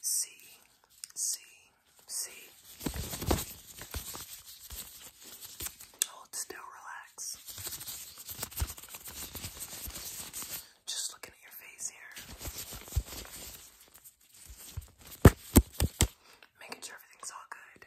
C, C, C. Hold still, relax. Just looking at your face here. Making sure everything's all good.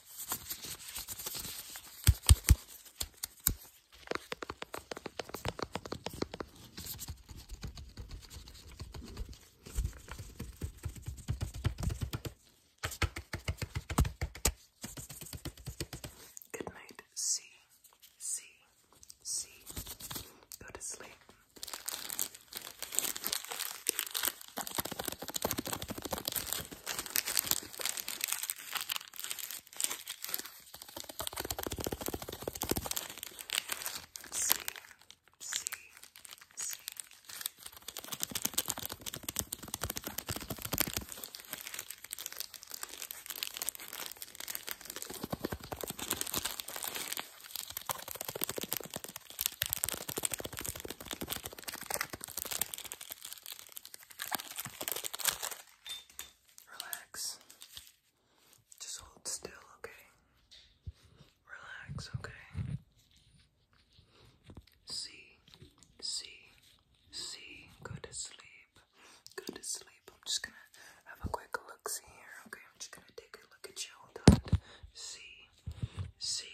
Good night, see, see, Go to sleep. See, see, see. Relax. Just hold still, okay? Relax, okay? C, see, see. Go to sleep. Go to sleep. I'm just gonna have a quick look see here, okay? I'm just gonna take a look at you. Hold C, C.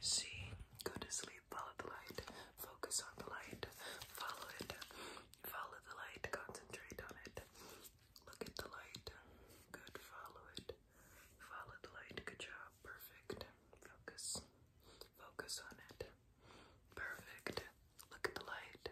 See, go to sleep, follow the light, focus on the light, follow it, follow the light, concentrate on it, look at the light, good, follow it, follow the light, good job, perfect, focus, focus on it, perfect, look at the light,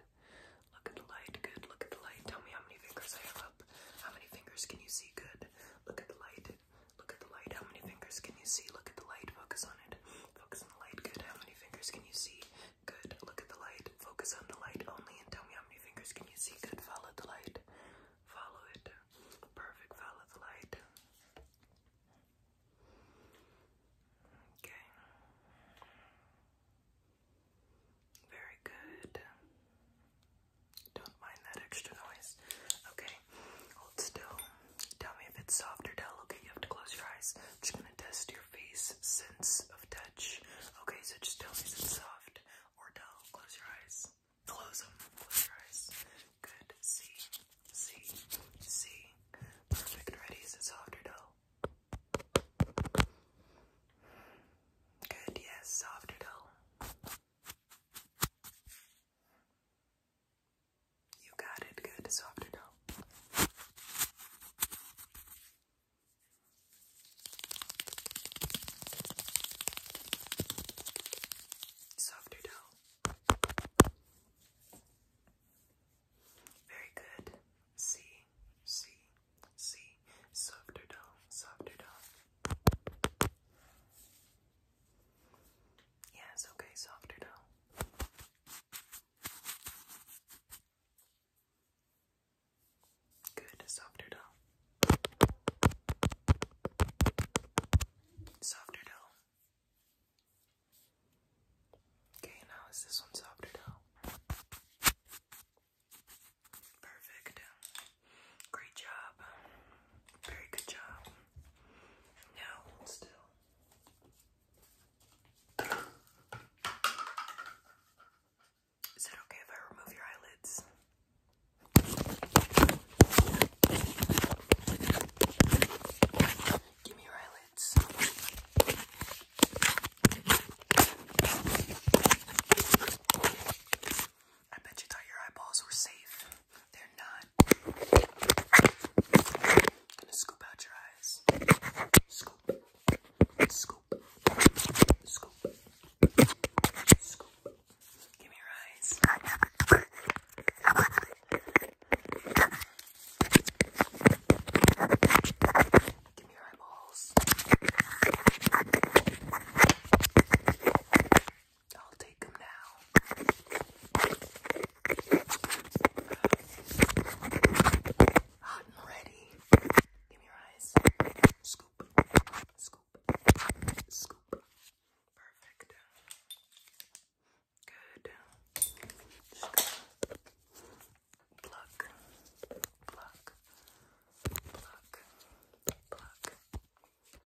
look at the light, good, look at the light, tell me how many fingers I have up, how many fingers can you see, good, look at the light, Look at the light. How many fingers can you see? Look at the light. Focus on it. Focus on the light. Good. How many fingers can you see? Good. Look at the light. Focus on the light only and tell me how many fingers can you see? Good. Follow the light. Follow it. Perfect. Follow the light. Okay. Very good. Don't mind that extra noise. Okay, hold still. Tell me if it's soft or dull. Okay, you have to close your eyes. just gonna test your face sense of touch. Okay, so just tell me if it's soft or dull. Close your eyes. Close them. Close your eyes. Good. See. See. See. Perfect. Ready? Is it soft or dull? Good. Yes. Soft or dull. You got it. Good. Softer now. Softer dough. Very good. See, see, see. Softer dough, softer dough. Yeah, it's okay, softer now. Good, softer dough. Softer dough. Okay, now is this one softer dough? Perfect. Great job. Very good job. Now still. Is it okay if I remove your eyelids? Give me your eyelids. I bet you thought your eyeballs were safe. They're not. gonna scoop out your eyes. Scoop. Scoop. Scoop. Scoop. Give me your eyes. Give me your eyeballs. I'll take them now. Hot and ready. Give me your eyes. Scoop. Scoop. Scoop. Perfect. Good. Just gonna pluck.